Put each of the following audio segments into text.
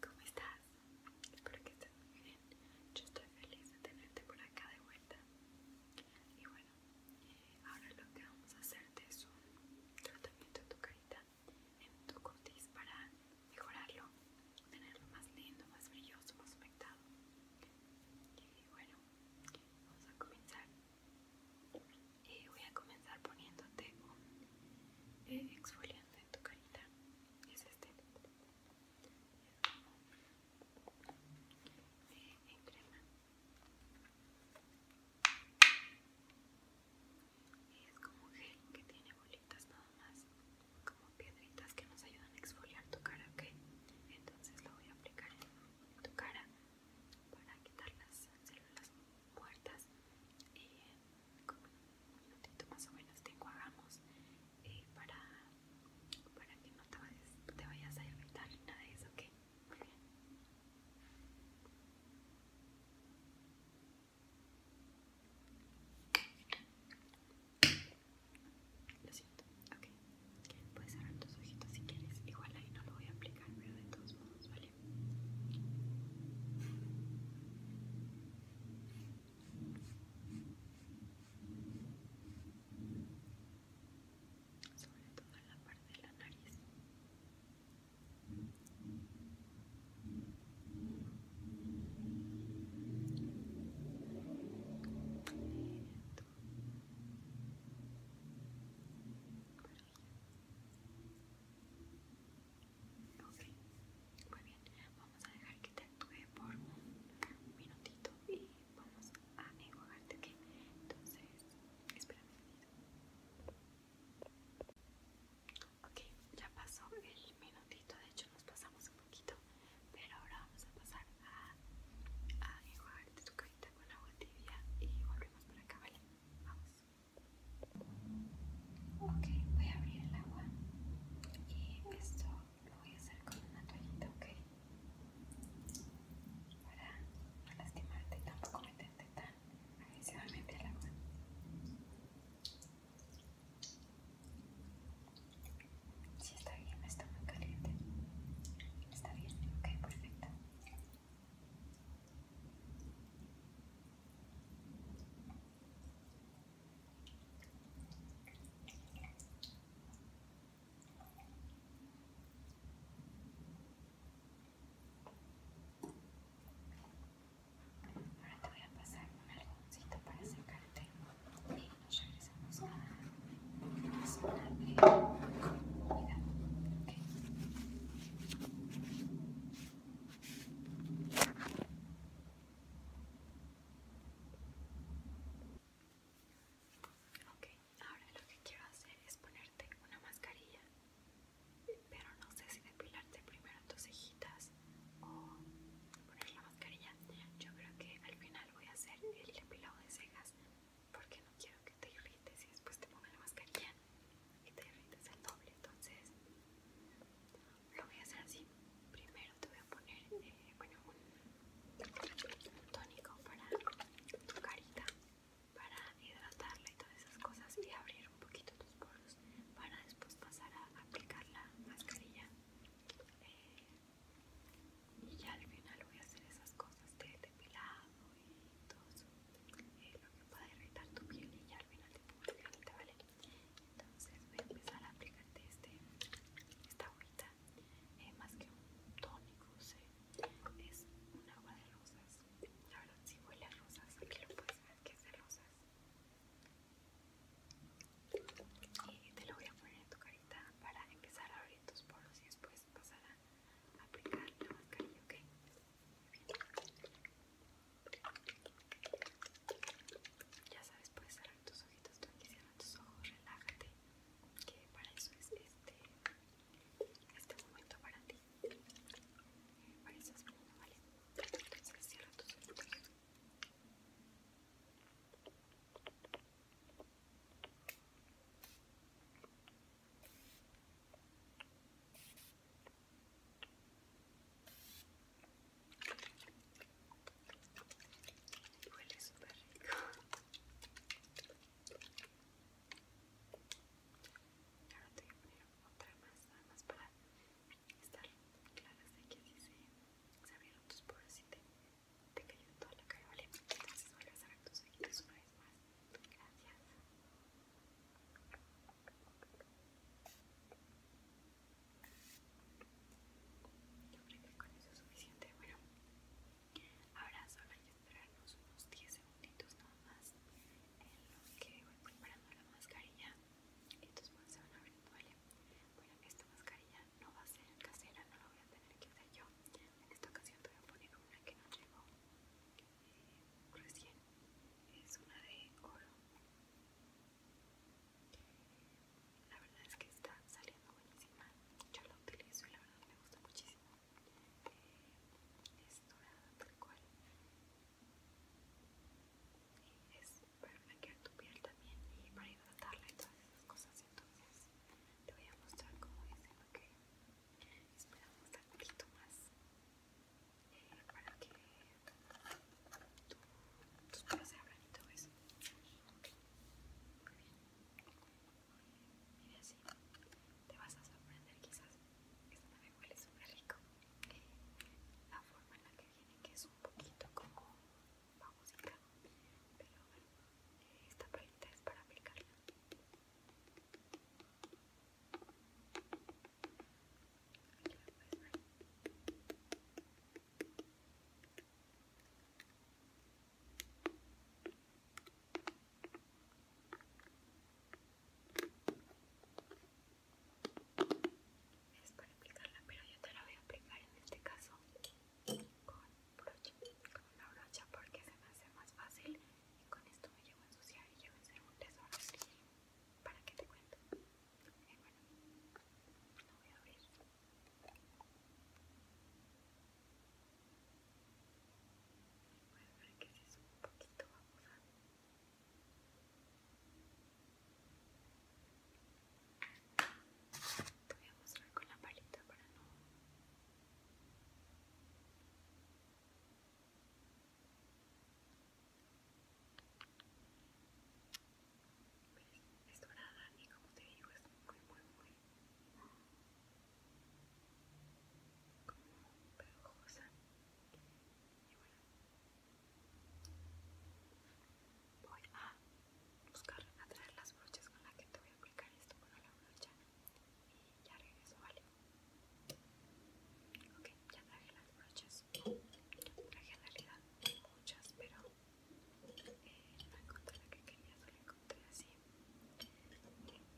¿Cómo estás? Espero que estés muy bien. Yo estoy feliz de tenerte por acá de vuelta. Y bueno, eh, ahora lo que vamos a hacer es un tratamiento en tu carita, en tu cutis para mejorarlo, tenerlo más lindo, más brilloso, más humectado. Y bueno, vamos a comenzar. Y eh, voy a comenzar poniéndote un eh, exfoliante en tu carita es este en crema y es como gel que tiene bolitas nada más como piedritas que nos ayudan a exfoliar tu cara ok entonces lo voy a aplicar en tu cara para quitar las células muertas y un minutito más o menos te enjuagamos eh, para, que no te vayas, a irritar ni nada de eso, ¿ok? Muy bien. Lo siento, ok. Puedes cerrar tus ojitos si quieres. Igual ahí no lo voy a aplicar, pero de todos modos, ¿vale? sobre toda la parte de la nariz. Ok, muy bien. Vamos a dejar que te actúe por un minutito y vamos a enjuagarte, que Entonces, espérame. Ok, ya pasó el minutito, de hecho nos pasamos un poquito, pero ahora vamos a pasar a, enjuagarte tu carita con agua tibia y volvemos por acá, ¿vale? Vamos. Ok, voy a abrir el agua y esto lo voy a hacer con una toallita, ok? Para no lastimarte y tampoco meterte tan agresivamente al agua. Si está bien, está muy caliente. Está bien, ok, perfecto. Ahora te voy a pasar un algodoncito para secarte y nos regresamos a la zona de Ok, ahora lo que quiero hacer es ponerte una mascarilla, pero no sé si depilarte primero tus cejitas o poner la mascarilla. Yo creo que al final voy a hacer el depilado de cejas porque no quiero que te irrites y después te ponga la mascarilla y te derrites el doble entonces lo voy a hacer así primero te voy a poner eh, bueno un tónico para tu carita para hidratarla y todas esas cosas y abrir un poquito tus poros para después pasar a aplicar la mascarilla eh, y ya al final voy a hacer esas cosas de depilado y todo eso, eh, lo que pueda irritar tu piel y ya al final te pongo el ¿vale? Entonces voy a empezar a aplicarte este, esta agüita, es eh, más que un tónico, es un agua de rosas. La verdad si huele a rosas, puedes que es de rosas. Y te lo voy a poner en tu carita para empezar a abrir tus poros y después pasar a aplicar la mascarilla, ¿ok? Ya sabes, puedes cerrar tus ojitos, tranqui, cierra tus ojos, relájate, que para eso es este, este momento para ti. Para eso es bueno, ¿vale? cierra tus ojitos. Huele súper rico. Ahora te voy a poner otra más, nada más para estar claras de que si se, abrieron tus poros y te, te cayó toda la cara, ¿vale? Entonces vuelves a ver tus ojitos una vez más. Gracias. Yo creo que con eso es suficiente. Bueno, ahora solo hay que esperarnos unos 10 segunditos nada más en lo que voy preparando la mascarilla y es manos se van a ver, ¿vale? Bueno, esta mascarilla no va a ser casera, no la voy a tener que hacer yo. En esta ocasión te voy a poner una que no llegó recién. Es una de oro. La verdad es que está saliendo buenísima. Yo la utilizo y la verdad me gusta muchísimo. es dorada tal cual. Y es para blanquear tu piel también y para hidratarla y todas esas cosas. Entonces te voy a mostrar cómo es lo que esperamos estar un poquito más para que tú tus se abran y todo eso. Muy bien. Mira así, te vas a sorprender quizás. Esto me huele súper rico. La forma en la que viene, que es un poquito como música pero bueno, esta palita es para aplicarla. Es para aplicarla, pero yo te la voy a aplicar en este caso con brocha, con una brocha porque se me hace más fácil y con esto me llevo a ensuciar y yo a hacer un tesoro. ¿Para qué te cuento? Y bueno, lo voy a abrir. Puedes ver que si es un poquito a... Te voy a mostrar con la palita para no y como te digo muy bueno voy a buscar a las brochas con las que te voy a aplicar esto con la brocha y ya regreso Ok, ya traje las brochas. Traje en realidad muchas, pero eh, no encontré la que quería, solo encontré así.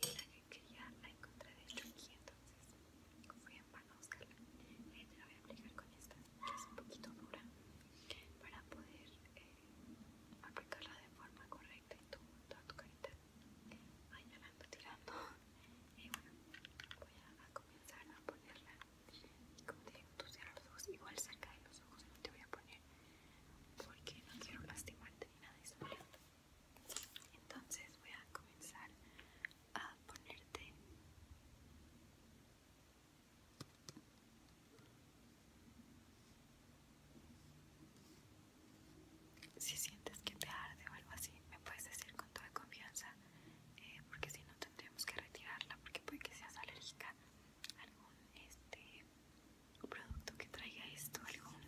Y la que quería la encontré de hecho aquí, entonces fui en vano a buscarla. Eh, te la voy a aplicar con esta, que es un poquito dura, para poder eh, aplicarla de forma correcta en toda tu carita. Ay, la ando tirando y bueno, voy a, comenzar a ponerla y como te digo, tú cierras los ojos, igual cerca de los ojos no te voy a poner porque no quiero lastimarte ni nada de eso, entonces voy a comenzar a ponerte si sientes que te arde o algo así, me puedes decir con toda confianza, eh, porque si no tendríamos que retirarla, porque puede que seas alérgica a algún este, producto que traiga esto, algún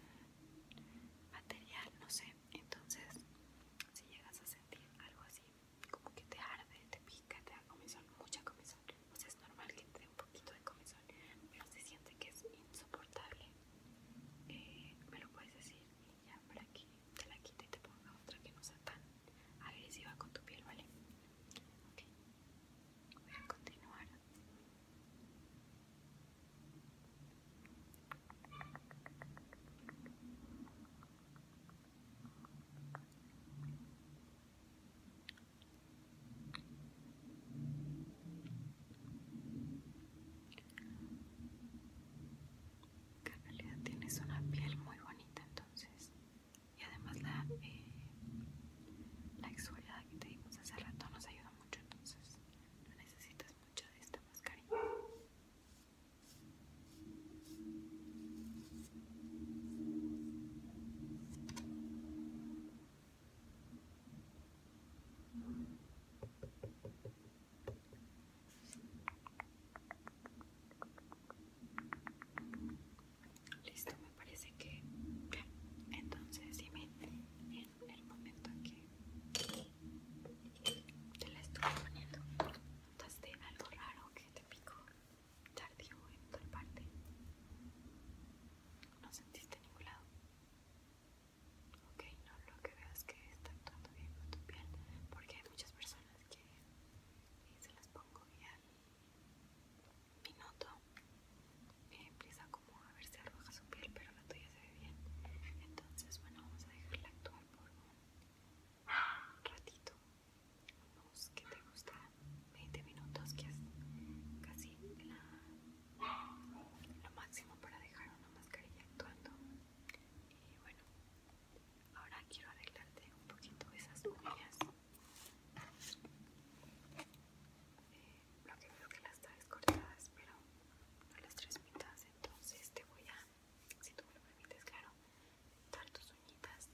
material, no sé. Entonces, si llegas a sentir algo así, como que te arde, te pica, te da comezón, mucha comezón, sea pues es normal que te dé un poquito de comezón, pero si sientes que es insoportable, eh, me lo puedes decir y ya para que te la quito y te pongo otra que no sea tan agresiva con tu piel, ¿vale? Okay, voy a continuar que en realidad tienes una piel muy bonita entonces y además la, eh, la exfoliada que te dimos hace rato nos ayuda mucho entonces no necesitas mucho de esta mascarilla Listo, me parece que bien. Entonces, dime en el momento en que te la estuve poniendo, ¿notaste algo raro que te picó tardío en tal parte? ¿No sentiste ningún lado? Ok, no, lo que veo es que está actuando bien con tu piel, porque hay muchas personas que eh, se las pongo bien y noto eh, empieza como a ver si arroja su piel, pero la tuya se ve bien. Entonces, bueno, vamos a dejarla actuar por un ratito, unos que te gusta 20 minutos, que es casi lo máximo para dejar una mascarilla actuando. Y bueno, ahora quiero arreglarte un poquito esas uñas. lo eh, que veo que las traes cortadas, pero no las tres entonces te voy a, si tú me lo permites, claro, dar tus uñitas.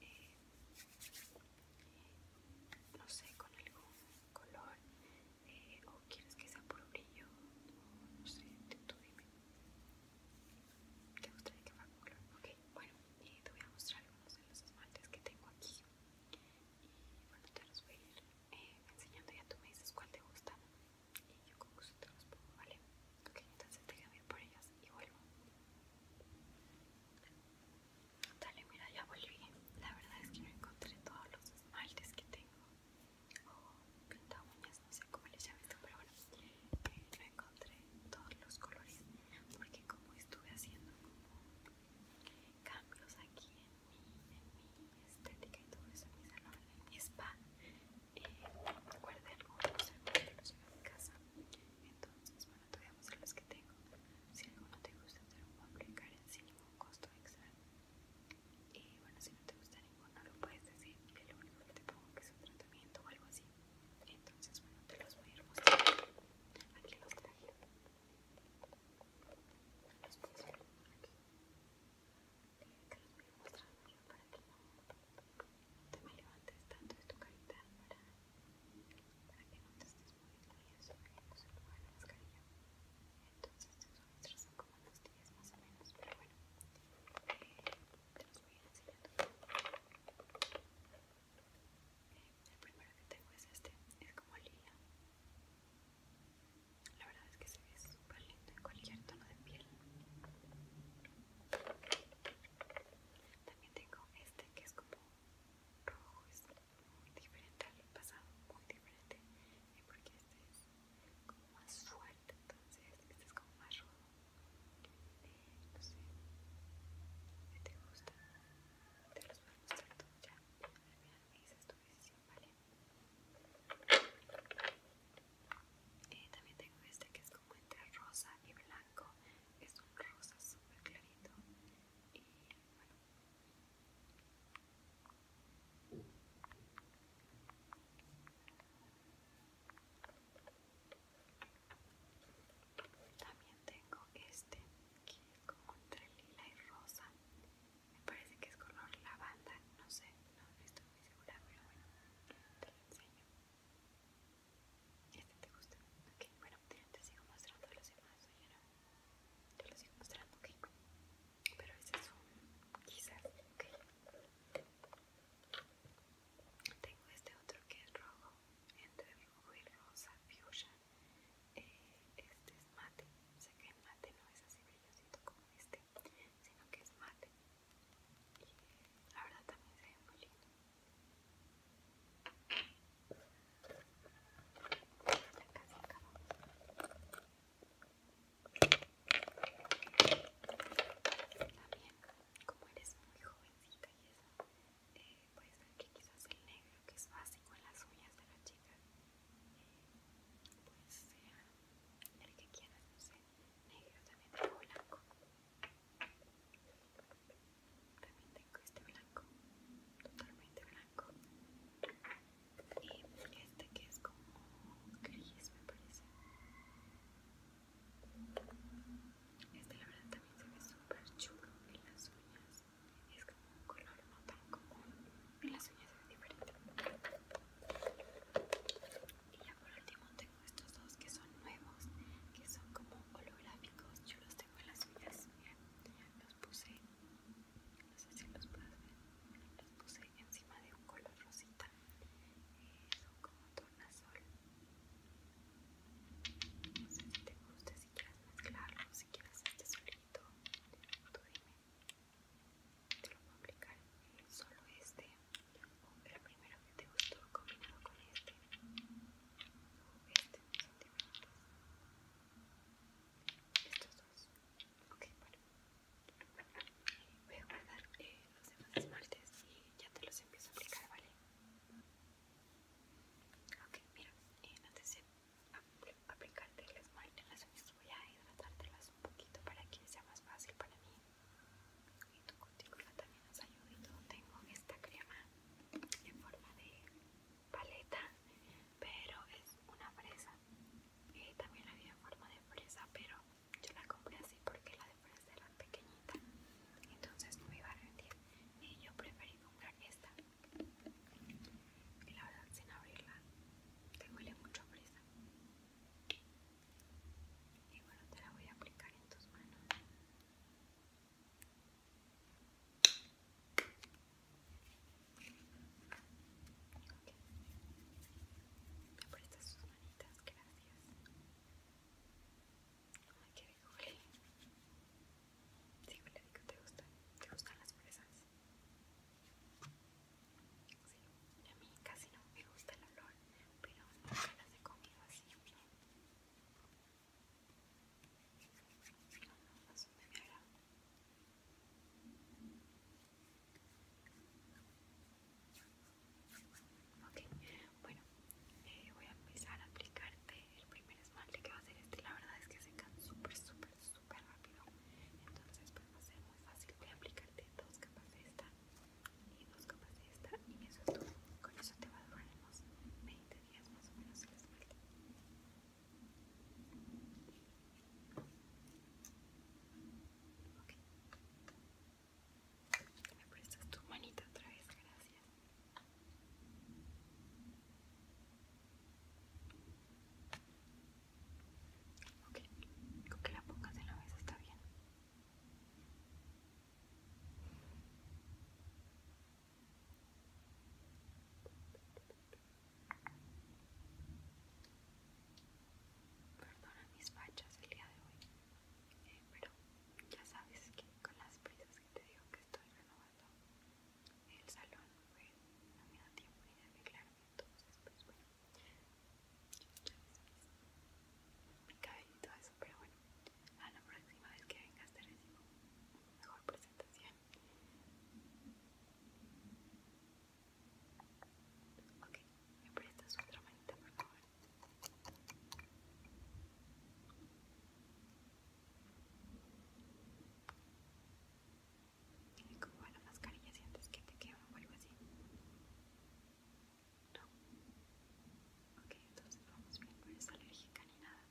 Eh, no sé, con algún color eh, o quieres que sea puro brillo o no sé, tú dime te gustaría que fuera color ok, bueno, eh, te voy a mostrar algunos de los esmaltes que tengo aquí y bueno, te los voy a ir eh, enseñando ya tú me dices cuál te gusta y yo con gusto te los pongo, ¿vale? ok, entonces te ir por ellos y vuelvo Dale, mira, ya volví. La verdad es que no encontré todos los esmaltes que tengo o oh, pinta uñas, no sé cómo les haya esto, pero bueno, eh, no encontré todos los colores porque como estuve haciendo como cambios aquí en mi, estética y todo eso en mi salón, en mi spa, eh, guardé algunos, de los llevé a casa, entonces bueno, te voy a los que tengo, si alguno te gusta te lo puedo aplicar sin ningún costo extra. Y bueno, si no te gusta ninguno, lo puedes decir. Que lo único que te pongo que es un tratamiento o algo así. Entonces, bueno, te los voy a ir mostrando. Aquí los traje. Los aquí. Te los voy a ir mostrando para que no, te me levantes tanto de tu carita para, que no te estés moviendo y eso me en se de la mascarilla. Entonces, otros son como unos días más o menos, pero bueno, eh, te los voy a ir enseñando. Eh, el primero que tengo es este, es como lila. La verdad es que se ve súper lindo en cualquier tono de piel. También tengo este que es como rojo, es muy diferente al pasado, muy diferente, y porque este es como más suerte entonces este es como más rojo no sé, ¿qué te gusta? Te los voy a mostrar todos ya. Al final me dices tu decisión, ¿vale? Eh, también tengo este que es como entre rosa y blanco. Es un rosa súper clarito. Y bueno, también tengo este que es como entre lila y rosa. Me parece que es color lavanda, no sé, no, estoy muy segura, pero bueno, te lo enseño. Este te gusta. bueno, te sigo mostrando los demás, Yo no. Te los sigo mostrando, ok pero ese es un quizás ok tengo este otro que es rojo entre rojo y rosa fuchsia eh, este es mate sé que el mate no es así brillosito como este sino que es mate y la verdad también se ve muy lindo casi también, como eres muy jovencita y eso, eh, puedes que quizás el negro, que es básico en las uñas de las chicas, eh, pues sea el que quieras, no sé, negro también tengo blanco. También tengo este blanco, totalmente blanco y este que es como gris me parece este la verdad también se ve súper chulo en las uñas es como un color no tan común en las uñas es diferente y ya por último tengo estos dos que son nuevos que son como holográficos yo los tengo en las uñas los puse no sé si los puedes ver, los puse encima de un color rosita, eh, son como tornasol, no sé si te gusta, si quieres mezclarlo, si quieres este solito, tú dime, te lo puedo aplicar eh, solo este, o el primero que te gustó combinado con este, o este, son Estos dos. Ok, vale Voy a guardar eh, los demás esmaltes y ya te los empiezo a aplicar, ¿vale? Ok, mira, eh, antes de aplicarte el esmalte en las uñas voy a hidratártelas un poquito para que sea más fácil para mí. Y tu cutícula también nos ayuda y Tengo esta crema en forma de paleta pero es una fresa. y eh, también había forma de fresa, pero yo la compré así porque la de fresa era pequeñita, entonces no me iba a rendir. Y yo preferí comprar esta. Y la verdad, sin abrirla, te huele mucho fresa. Y bueno, te la voy a aplicar en tus manos. Me sus manitas, gracias. Ay, rico, le ¿te gustan? ¿Te gustan las fresas? a mí casi no me gusta el olor, pero las he así, Ok, bueno, eh, voy a empezar a aplicarte el primer esmalte que va a ser este. La verdad es que seca súper, súper, súper rápido. Entonces, pues va a ser muy fácil. Voy a aplicarte dos capas de esta y dos capas de esta. Y eso es todo. Con eso te va a durar unos 20 días más o menos el esmalte. Okay. ¿Me prestas tu manita otra vez? Gracias. Ok, con que la pongas en la mesa está bien. Perdona mis fachas el día de hoy, eh, pero ya sabes que con las prisas que te digo que estoy renovando el salón, pues no me da tiempo ni de arreglarme, entonces pues bueno, ya mi cabello y todo eso, pero bueno, a la próxima vez que vengas te recibo mejor presentación. Ok, me prestas otra manita, por favor. Tiene como la mascarilla si antes que te quema o algo así. No. Ok, entonces vamos bien, no eres alérgica ni nada.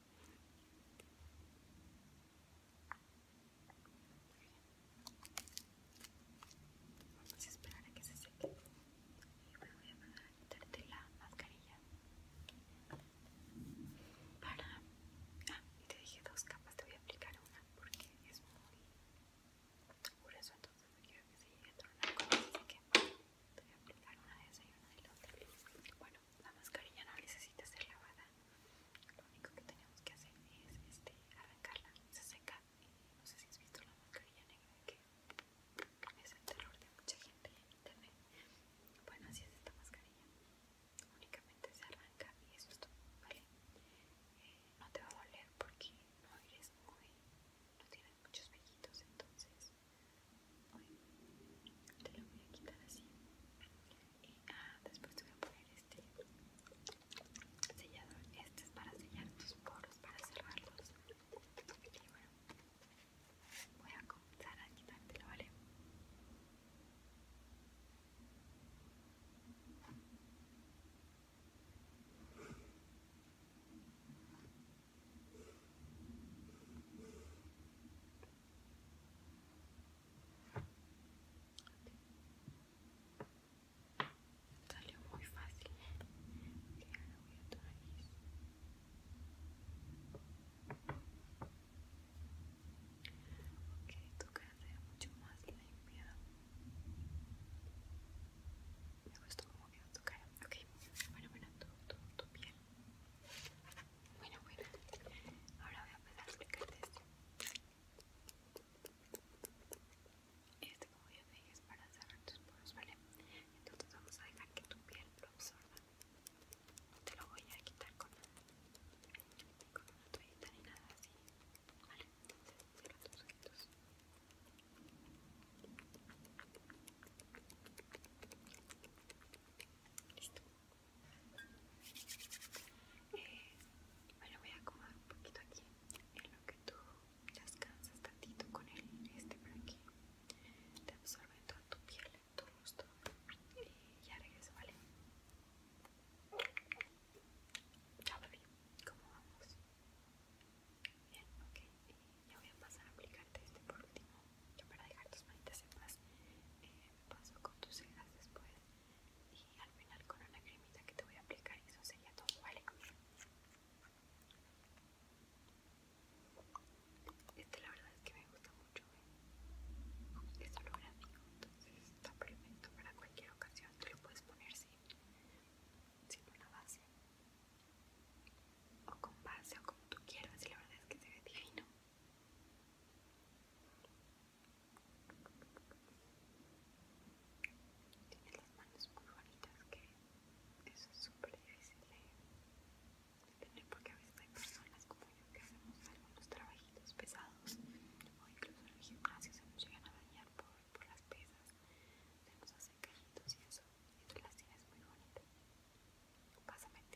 Vamos a esperar a que se seque. Y me voy a poner a quitarte la mascarilla. Para. Ah, y te dije dos capas, te voy a aplicar una porque es muy grueso, entonces no quiero que se llegue a tronar con así que te voy a aplicar una de esa y una de la otra. Bueno, la mascarilla no necesita ser lavada lo único que tenemos que hacer es este, arrancarla, se seca. no sé si has visto la mascarilla negra que es el terror de mucha gente en internet. Bueno, así es esta mascarilla. Únicamente se arranca y eso es todo, ¿vale? Eh, no te va a doler porque no eres muy. no tienes muchos vellitos, entonces. te lo voy a quitar así y después te voy a poner este sellador este es para sellar tus poros para cerrarlos y bueno voy a comenzar a la vale Salió muy fácil. Ok, ahora voy a tu nariz. Ok, tu cara ve mucho más limpia. Me gustó como quedó tu cara. Ok, bueno, bueno, tu, tu piel. Bueno, bueno. Ahora voy a empezar a explicarte esto. Este, como ya te dije, es para cerrar tus poros, ¿vale? Entonces vamos a dejar que tu piel lo absorba. te lo voy a quitar con, con una toallita ni nada así, ¿vale? Entonces cierra tus ojitos. Listo. Eh, me lo voy a acomodar un poquito aquí en lo que tú descansas tantito con el este por aquí. Te absorbe toda tu piel, tu rostro y ya regreso, ¿vale? Chao bebé, ¿cómo vamos? Bien, ok, ya voy a pasar a aplicarte este por último. Yo para dejar tus manitas en paz, eh, me paso con tus cejas después y al final con una cremita que te voy a aplicar Y eso sería todo, ¿vale? Este la verdad es que me gusta mucho, ¿eh? lo holográfico, entonces está perfecto para cualquier ocasión, te lo puedes poner sin, sin una base o con base o como tú quieras, y la verdad es que se ve divino. Tienes las manos muy bonitas que eso es súper difícil de tener porque a veces hay personas como yo que hacemos algunos trabajitos pesados o incluso en el gimnasio se nos llegan a dañar por, las pesas, se nos hacen cajitos y eso, y tú las tienes muy bonitas. Pásamente.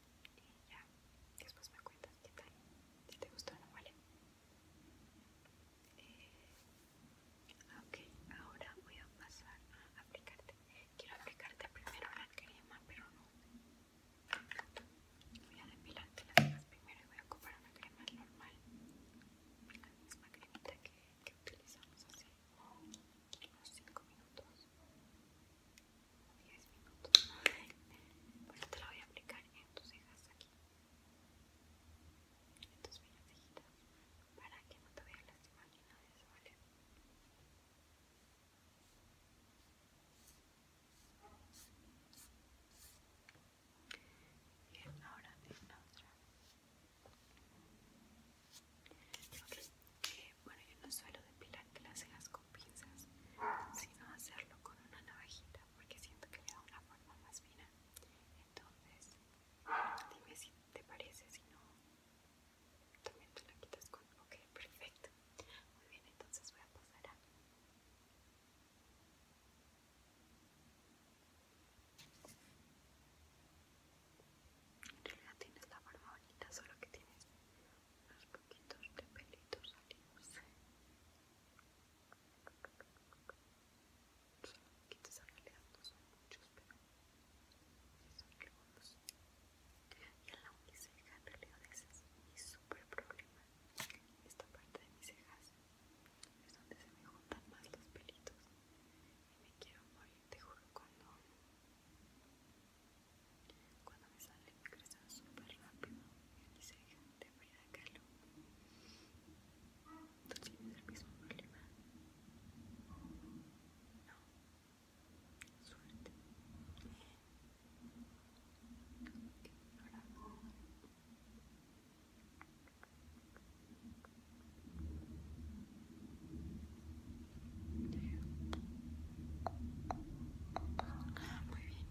Y ya, después me cuentas qué tal, si te gustó o no, ¿vale? Eh, ok, ahora voy a pasar a aplicarte. Quiero aplicarte primero la crema, pero no. Voy a depilarte las primero y voy a ocupar una crema normal. La misma cremita que, que utilizamos hace unos 5 minutos. 10 minutos. Bueno, te la voy a aplicar en tus cejas aquí. En tus pequeñas cejitas. Para que no te veas a lastimar eso, ¿vale? Bien, ahora en la otra. Ok, eh, bueno, yo no suelo depilar las cejas piensas sino hacerlo con una navajita porque siento que le da una forma más fina. Entonces, dime si te parece, si no, también te la quitas con... Ok, perfecto. Muy bien, entonces voy a pasar a... En realidad tienes la forma bonita, solo que tienes unos poquitos de pelitos salimos solo poquitos en realidad no son muchos pero sí son algunos y en la uniceja en realidad ese es mi super problema esta parte de mis cejas es donde se me juntan más los pelitos y me quiero morir te juro cuando cuando me sale me crece súper rápido y "Te de a Kahlo. ¿Tú tienes el mismo problema? No. Suerte. Ahora. Muy bien.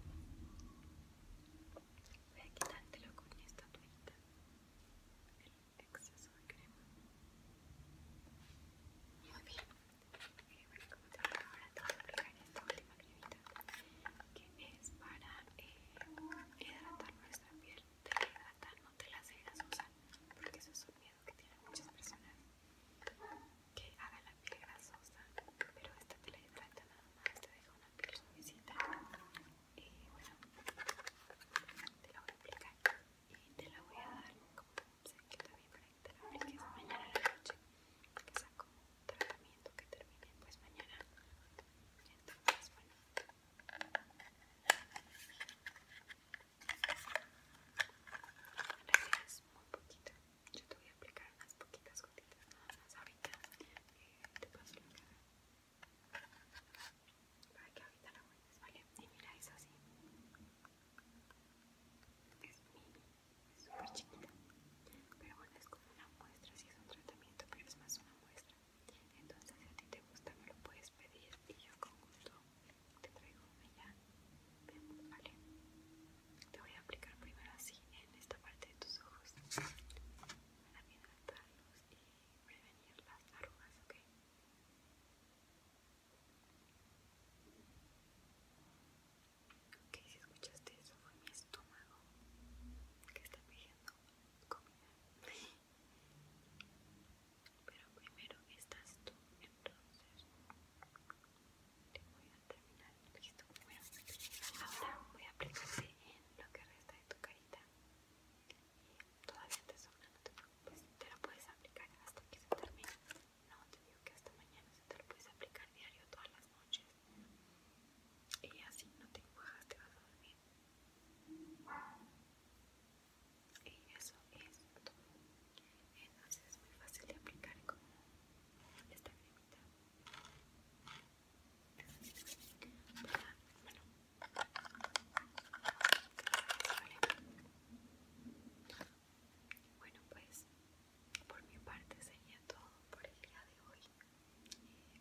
Voy a quitártelo con esta toallita. El exceso de crema. Muy bien. bueno, como te ahora te voy a aplicar esta última cremita que es para hidratar nuestra piel. Te hidrata, no te la dejas grasosa porque eso es un miedo que tienen muchas personas que haga la piel grasosa, pero esta te la hidrata nada más, te deja una piel suavecita. Y bueno, te la voy a aplicar y te la voy a dar como se bien para que te la apliques mañana a la noche, que sea un tratamiento que termine pues mañana. Entonces, bueno. En realidad es muy poquito yo te voy a aplicar unas poquitas gotitas nada más ahorita eh, te paso la cara para que ahorita la ¿vale? Y mira, eso así. Es mini, es súper chiquita. Pero bueno, es como una muestra, si sí es un tratamiento, pero es más una muestra. Entonces, si a ti te gusta, me lo puedes pedir y yo con gusto te traigo una ya. Veamos, ¿vale? Te voy a aplicar primero así en esta parte de tus ojos para hidratarlos y prevenir las arrugas, ¿ok? Ok, si escuchaste eso fue mi estómago que está pidiendo comida. Pero primero estás tú, entonces te voy a terminar, listo. Bueno, ahora voy a aplicarte en lo que resta de tu carita. Y todavía te sobra, no te preocupes. Te lo puedes aplicar hasta que se termine. No, te digo que hasta mañana se te lo puedes aplicar diario todas las noches. Y así no te encuajas, te vas a dormir. Y eso es todo entonces es muy fácil de aplicar con esta cremita bueno pues por mi parte sería todo por el día de hoy eh,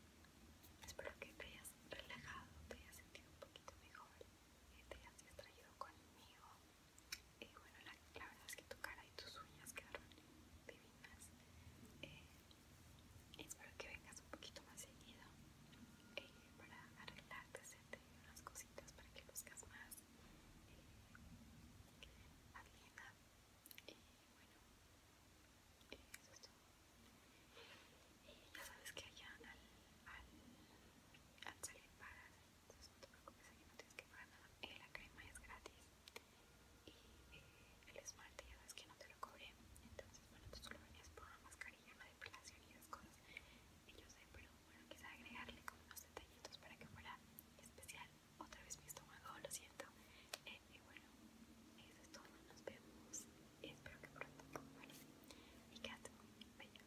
espero que te hayas relajado te hayas sentido un poquito mejor y te hayas distraído conmigo y eh, bueno la, verdad es que tu cara y tus uñas quedaron divinas eh, espero que vengas un poquito más seguido eh, para arreglarte hacerte unas cositas para que buscas más eh, más y bueno eso es todo Y ya sabes que allá al, al, al salir para entonces no te preocupes, aquí no tienes que pagar nada. Eh, la crema es gratis y eh, el esmalte ya sabes que no te lo cobré. Entonces, bueno, tú solo venías por una mascarilla, una depilación y esas cosas. Y yo sé, pero bueno, quise agregarle como unos detallitos para que fuera especial. Otra vez mi estómago, lo siento. Eh, y bueno, eso es todo. Nos vemos. Espero que pronto. Bueno, y quédate muy bella.